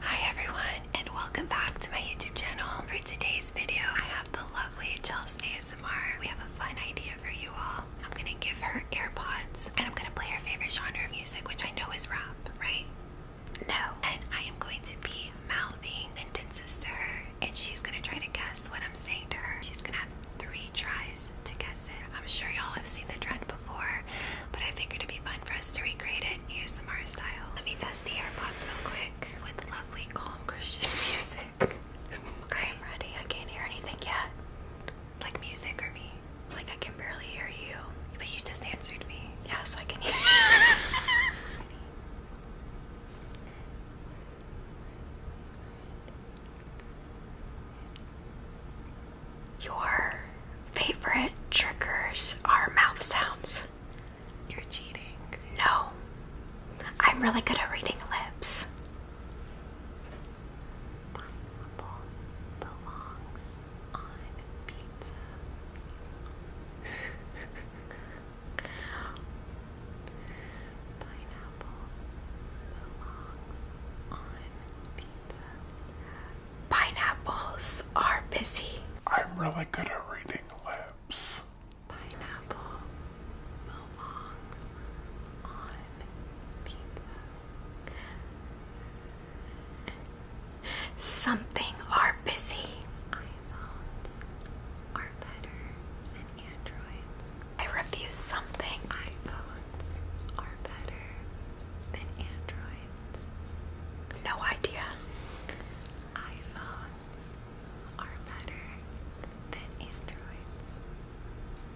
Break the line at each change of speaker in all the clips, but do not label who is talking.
Hi everyone and welcome back to my YouTube channel. For today's video I have the lovely Jels ASMR. We have a fun idea for you all. I'm gonna give her AirPods and I'm gonna play her favorite genre of music which I know is rap, right? No. And I am going to be mouthing sentences to her and she's gonna try to guess what I'm saying to her. She's gonna have three tries to guess it. I'm sure y'all have seen the trend but I figured it'd be fun for us to recreate it ASMR style. Let me test the AirPods real quick with lovely, calm Christian music. okay, I'm ready. I can't hear anything yet. Like music or me? Like I can barely hear you. But you just answered me. Yeah, so I can hear you. Your favorite triggers are mouth sounds. You're cheating. No. I'm really good at reading lips. Pineapples are busy. I'm really good at reading lips. Pineapple belongs on pizza. Something are busy. iPhones are better than Androids. I refuse something. iPhones are better than Androids. No idea. iPhones are better than Androids.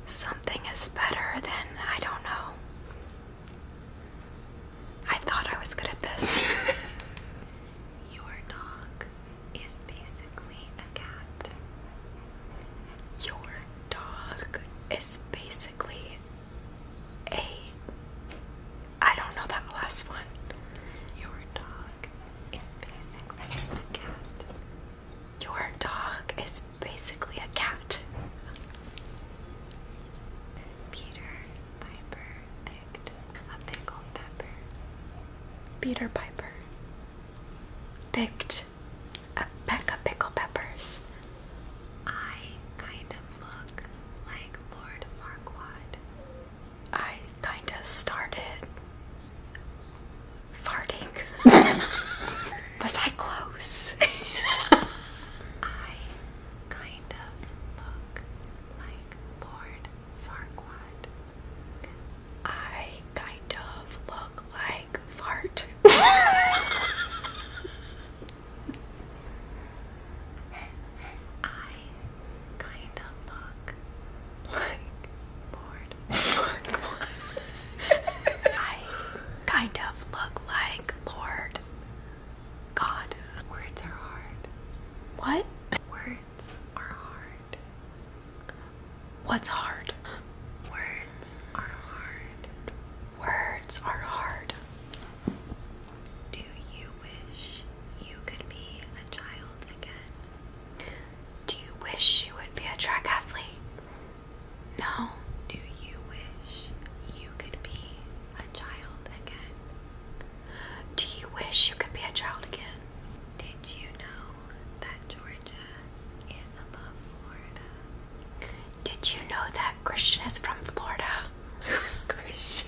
Something is better than I don't know. I thought I was good at this. Your dog is basically a cat. Your dog is basically a I don't know that last one. Your dog is basically a cat. Your dog is basically a cat. Peter Piper picked a pickled pepper. Peter Piper picked a peck of pickle peppers. I kind of look like Lord Farquaad. I kind of started farting. Was I close? I kind of look like Lord Farquaad. I kind of look like fart. I kind of look like bored. Fuck. I kind of look like Lord God. What? What's hard? Words are hard. Words are hard. Do you wish you could be a child again? Do you wish you would be a track athlete? No. Do you wish you could be a child again? Do you wish you could be a child again? Did you know that Georgia did you know that Christian is from Florida? Who's Christian?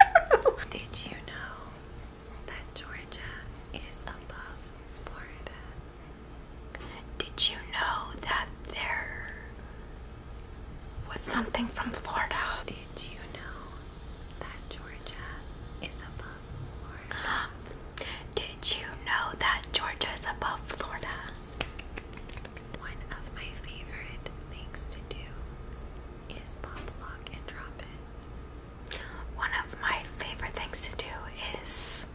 Did you know that Georgia is above Florida? Did you know that there was something from Florida? Did you know that Georgia is above did you know that Georgia's above Florida? One of my favorite things to do is pop lock and drop it. One of my favorite things to do is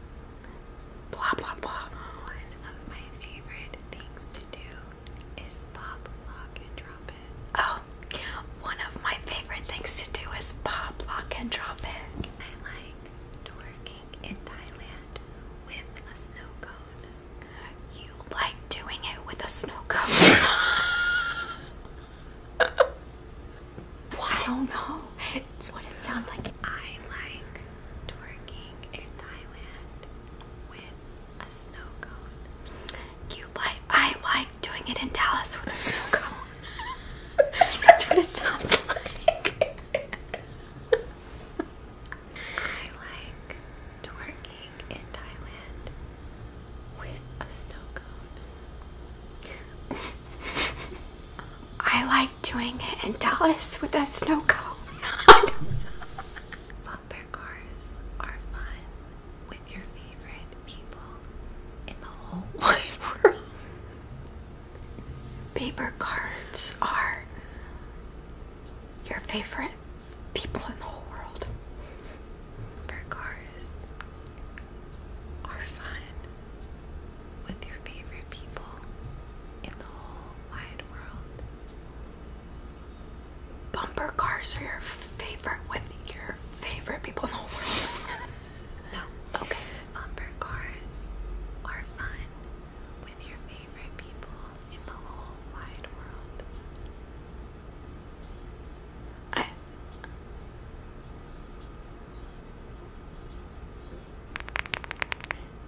blah blah blah. One of my favorite things to do is pop lock and drop it. Oh, one of my favorite things to do is pop lock and drop it. I like twerking in Thailand with a snow cone. You like doing it with a snow cone? I don't know. It's what it sounds like. I like twerking in Thailand with a snow cone. You like? I like doing it in Dallas with a snow cone. That's what it sounds like. I like twerking in Thailand with a snow cone. I like doing it in Dallas with a snow cone. Bumper cars are fun with your favorite people in the whole wide world. Paper cars are your favorite people in the whole world. Paper cards are fun with your favorite people in the whole wide world. Bumper cars are your favorite with your favorite people in the whole world. No. Okay. Bumper cars are fun with your favorite people in the whole wide world. I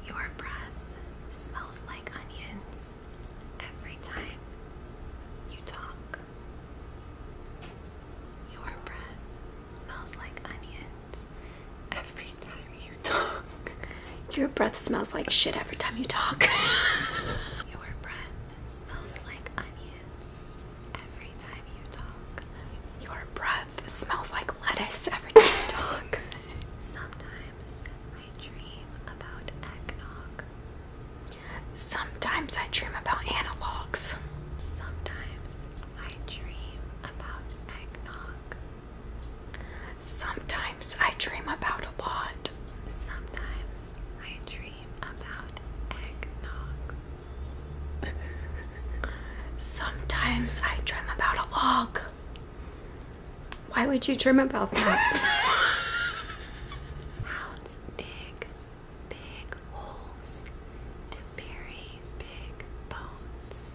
your breath smells like onions every time you talk. Your breath smells like onions every time you talk. Your breath smells like shit every time you talk. Your breath smells like onions every time you talk. Your breath smells like lettuce every time you talk. Sometimes I dream about eggnog. Sometimes I dream about analogs. Sometimes I dream about eggnog. Sometimes I dream about a log. Sometimes I dream about eggnog. Sometimes I dream about a log. Why would you dream about that? Hounds dig big holes to bury big bones.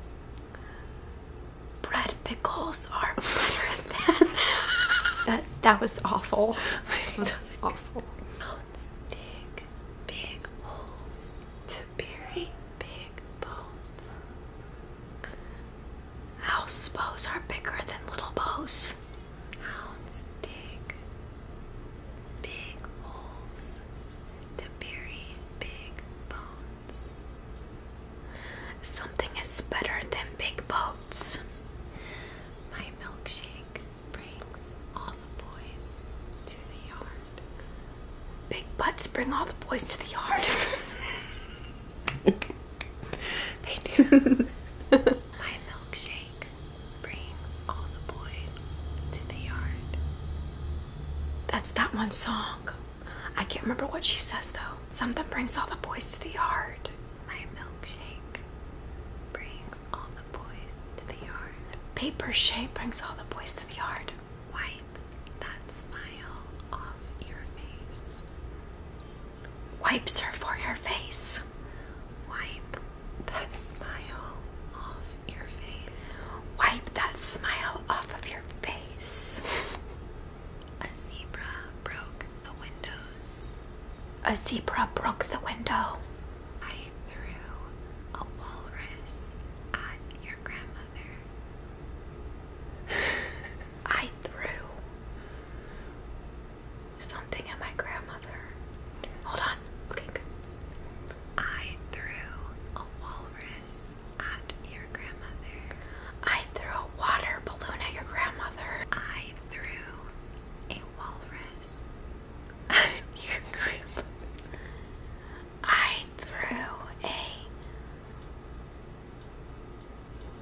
Bread pickles are better than that. That was awful. That was awful. Bones dig big holes to bury big bones. House bows are bigger than little bows. Hounds dig big holes to bury big bones. Something is better than big boats. My milkshake brings all the boys to the yard. Big butts bring all the boys to the yard. they do. My milkshake brings all the boys to the yard. That's that one song. I can't remember what she says though. Something brings all the boys to the yard. My milkshake brings all the boys to the yard. Paper shape brings all the boys to the yard. Wipe that smile off your face wipes her for your face. Wipe that smile off your face. Wipe that smile off of your face. A zebra broke the windows. A zebra broke the window. I threw a walrus at your grandmother. I threw something at my grandmother. Hold on. Okay, good. I threw a walrus at your grandmother. I threw a water balloon at your grandmother. I threw a walrus at your grandmother. I threw a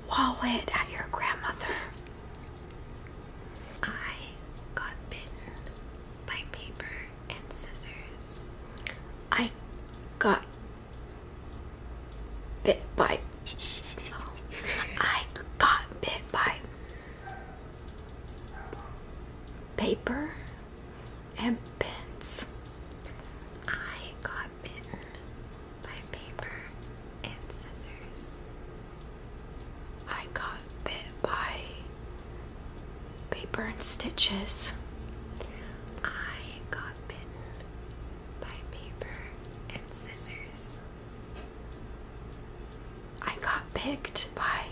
wallet at your grandmother. I got bitten by paper and scissors. I got bit by. I got bit by paper and pens. I got bitten by paper and scissors. I got bit by paper and stitches. I got bitten by paper and scissors. I got picked by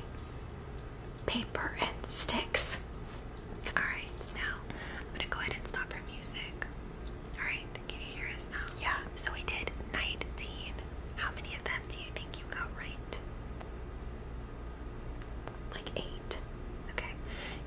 paper and sticks. Alright, now I'm gonna go ahead and stop her music. Alright, can you hear us now? Yeah. So we did 19. How many of them do you think you got right? Like eight. Okay.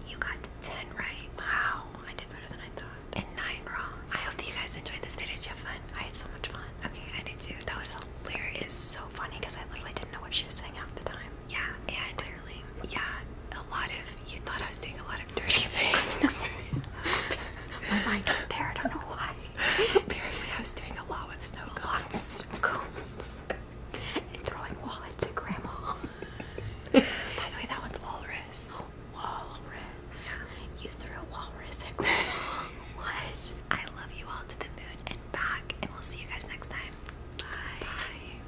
You got 10 right. Wow, I did better than I thought. And nine wrong. I hope that you guys enjoyed this video. you have fun? I had so much fun. Okay, I did too. That was hilarious. so funny because I literally didn't know what she was saying half the time yeah, and clearly, yeah, a lot of you thought I was doing a lot of dirty things. My mind's was there. I don't know why. Apparently, I was doing a lot with snow cones, cones, and throwing walnuts at grandma. By the way, that one's walrus. walrus. You threw a walrus at grandma. what? I love you all to the moon and back, and we'll see you guys next time. Bye.